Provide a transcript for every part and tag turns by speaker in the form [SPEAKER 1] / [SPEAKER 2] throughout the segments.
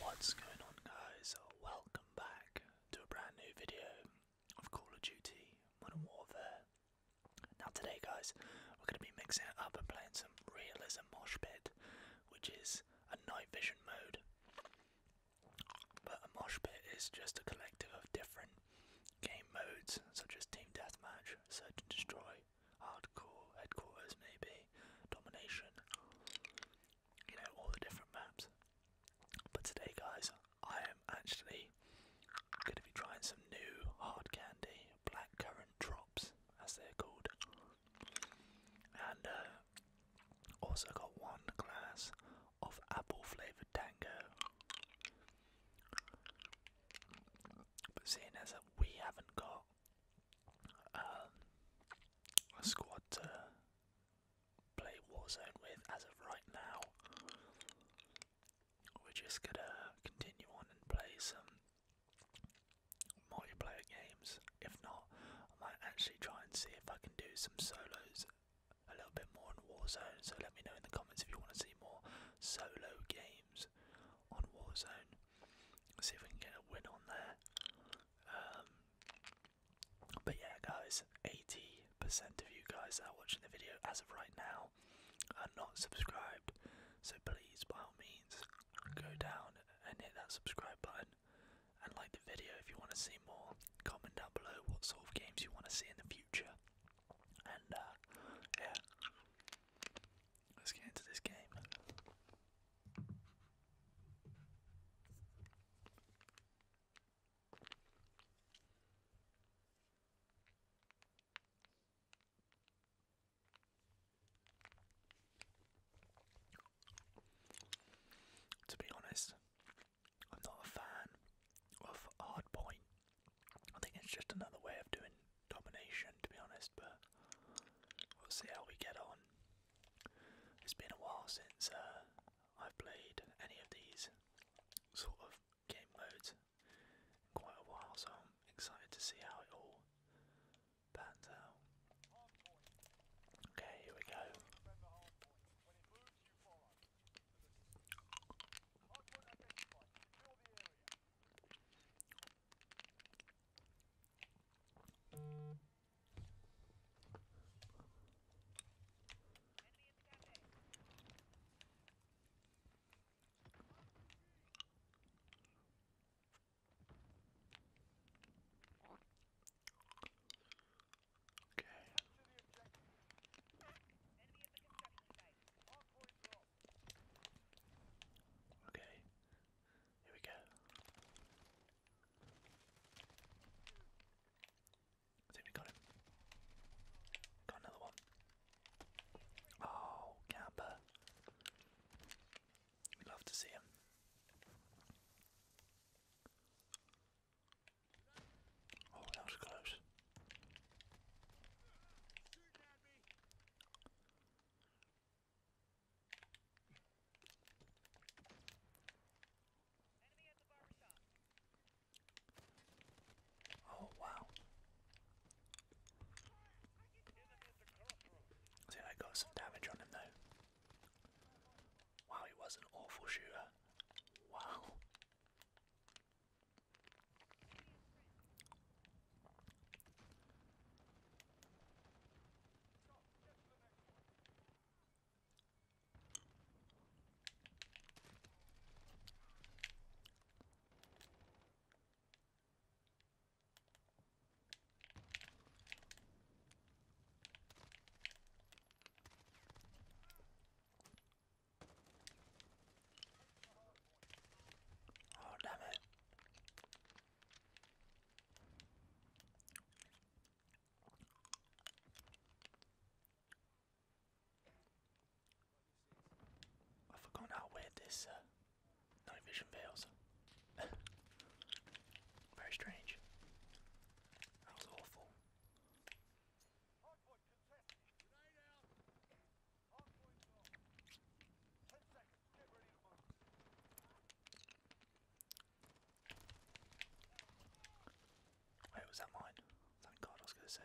[SPEAKER 1] What's going on guys? Welcome back to a brand new video of Call of Duty Modern Warfare. Now today guys, we're going to be mixing it up and playing some realism mosh pit, which is a night vision mode. But a mosh pit is just a collective of different game modes, such as team deathmatch, search and destroy, hardcore, headquarters, maybe, domination. You know, all the different maps. But today, guys, I am actually going to be trying some new hard candy, blackcurrant drops, as they're called. And uh, also got one glass of apple flavoured tango. But seeing as we haven't got um, a squad to play Warzone with as of right now, we're just gonna continue on and play some multiplayer games. If not, I might actually try and see if I can do some solos a little bit more on Warzone. So let me know in the comments if you want to see more solo games on Warzone. see if we can get a win on there. Um, but yeah, guys, 80% of you guys are watching the video as of right now are not subscribed, so please, by all means, go down and hit that subscribe button and like the video if you want to see more. Comment down below what sort of games you want to see in the future. And, uh, yeah, let's get into this game. To be honest, I'm not a fan of hardpoint. I think it's just another way of doing domination, to be honest, but we'll see how we get on. It's been a while since uh, I've played any of these sort of game modes quite a while, so I'm excited to see how it all pans out. Okay, here we go. Okay. Okay. Here we go. I think we got him. Got another one. Oh, Camper. We'd love to see him. Oh, that was close. Oh wow. See, I got some damage on him though. Wow, he was an awful shooter. Wow. Oh, damn it. I've forgotten how weird this uh, night vision feels. Very strange. That was awful. Wait, was that mine? Thank God, I was going to say.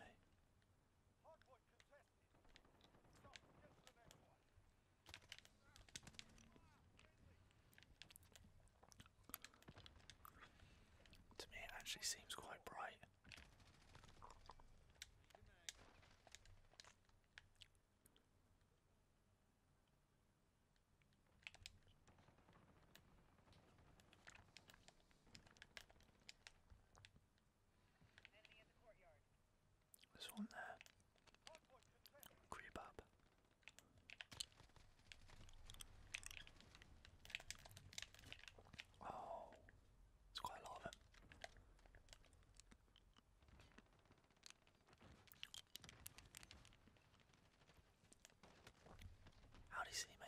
[SPEAKER 1] To me, it actually seems quite bright. There's one there. Creep up. Oh, it's quite a lot of it. How'd he see me?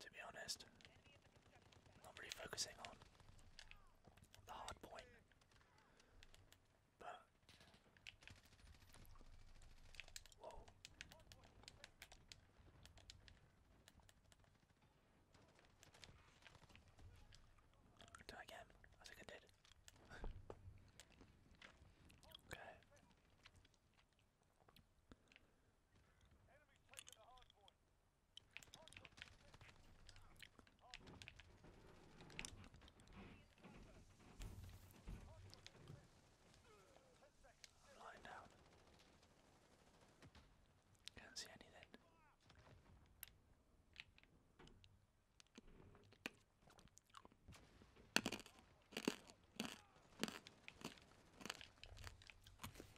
[SPEAKER 1] to be honest. Not really focusing on the hard point. But Do it again. I think I did. okay. Lying down. Can't see anything.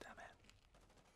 [SPEAKER 1] Damn it.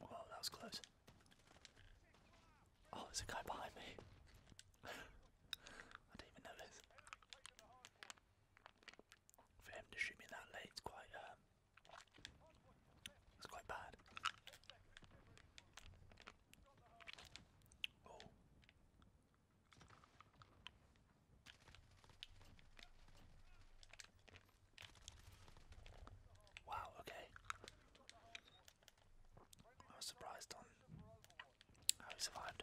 [SPEAKER 1] Whoa, oh, that was close. Oh, there's a guy behind me. I didn't even notice. For him to shoot me that late, it's quite, um, it's quite bad. Oh, Wow, okay. I was surprised on how he survived.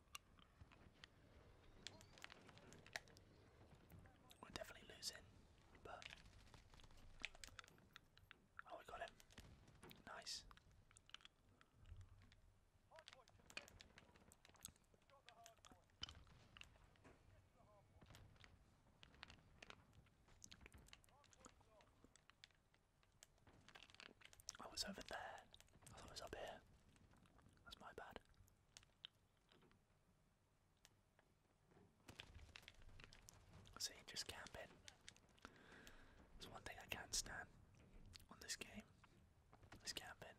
[SPEAKER 1] We're definitely losing, but oh, we got him. Nice. I was over there. I thought it was up here. That's my bad. See, just camping. It's one thing I can't stand on this game. Is camping.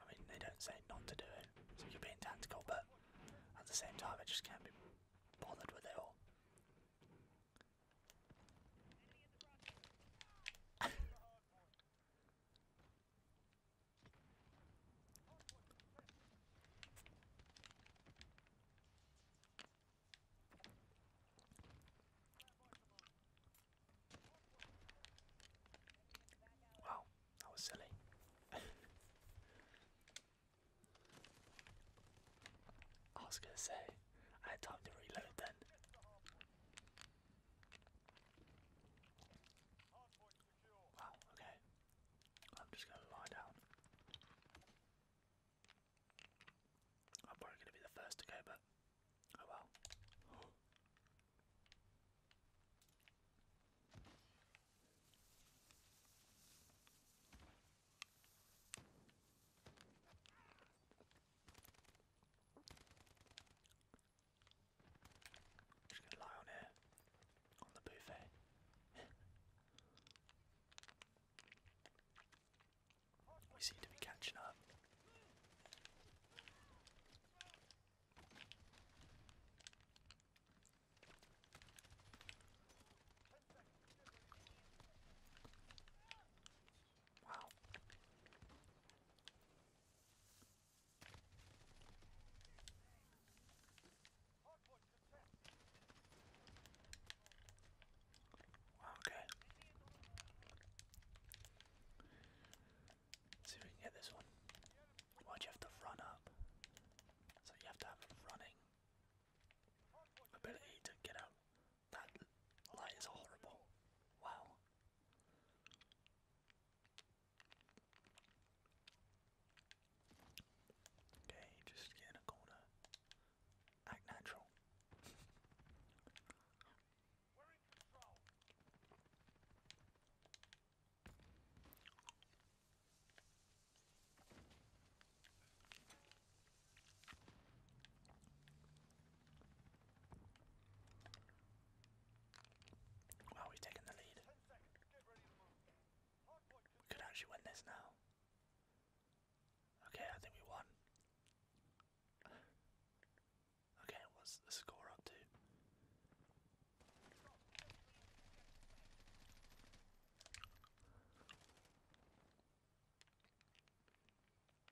[SPEAKER 1] I mean, they don't say not to do it, so you're being tactical, but at the same time, I just can't be bothered with it all. Wow, that was silly. I was gonna say, I had time to reload then. Wow, okay. I'm just gonna lie down. I'm probably gonna be the first to go, but oh well. Just gonna lie on here, on the buffet. we seem to be catching up. Wow. Okay. Let's see if we can get this one. Why'd you have to run up? So you have to have a running ability to get up. That light is horrible. Wow. Okay, just get in a corner. Act natural. Wow, we've the lead. We could actually win this now. Okay, I think we won. Okay, what's the score up to?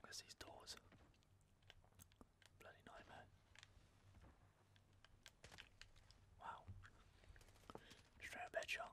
[SPEAKER 1] Where's these doors? Bloody nightmare. Wow. Straight up headshot.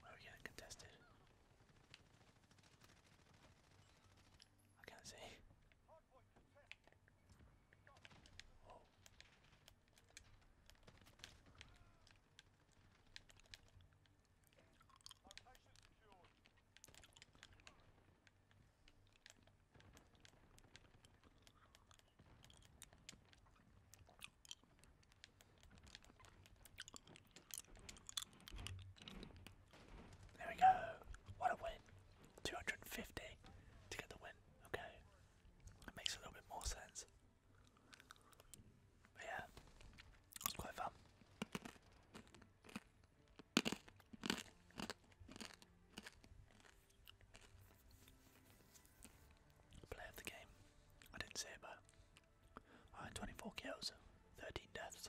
[SPEAKER 1] why are we getting contested? I can't see. Oh. There we go. What a win. 250 to get the win. Okay. It makes a little bit more sense. But yeah, it's quite fun. Play of the game. I didn't say it, but I had 24 kills, 13 deaths,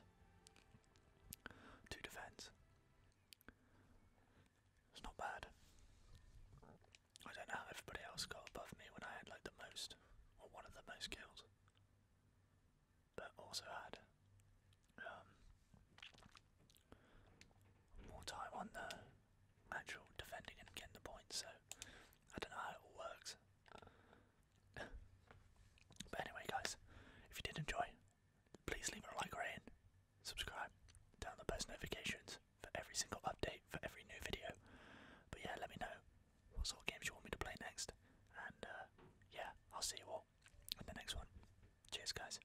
[SPEAKER 1] 2 defense. It's not bad. I don't know how everybody else got above me when I had like the most, or one of the most kills. But also had um, more time on there actual defending and getting the points, so I don't know how it all works. but anyway, guys, if you did enjoy, please leave a like or in, subscribe, turn on the post notifications for every single update for every new video. But yeah, let me know what sort of games you want me to play next, and uh, yeah, I'll see you all in the next one. Cheers, guys.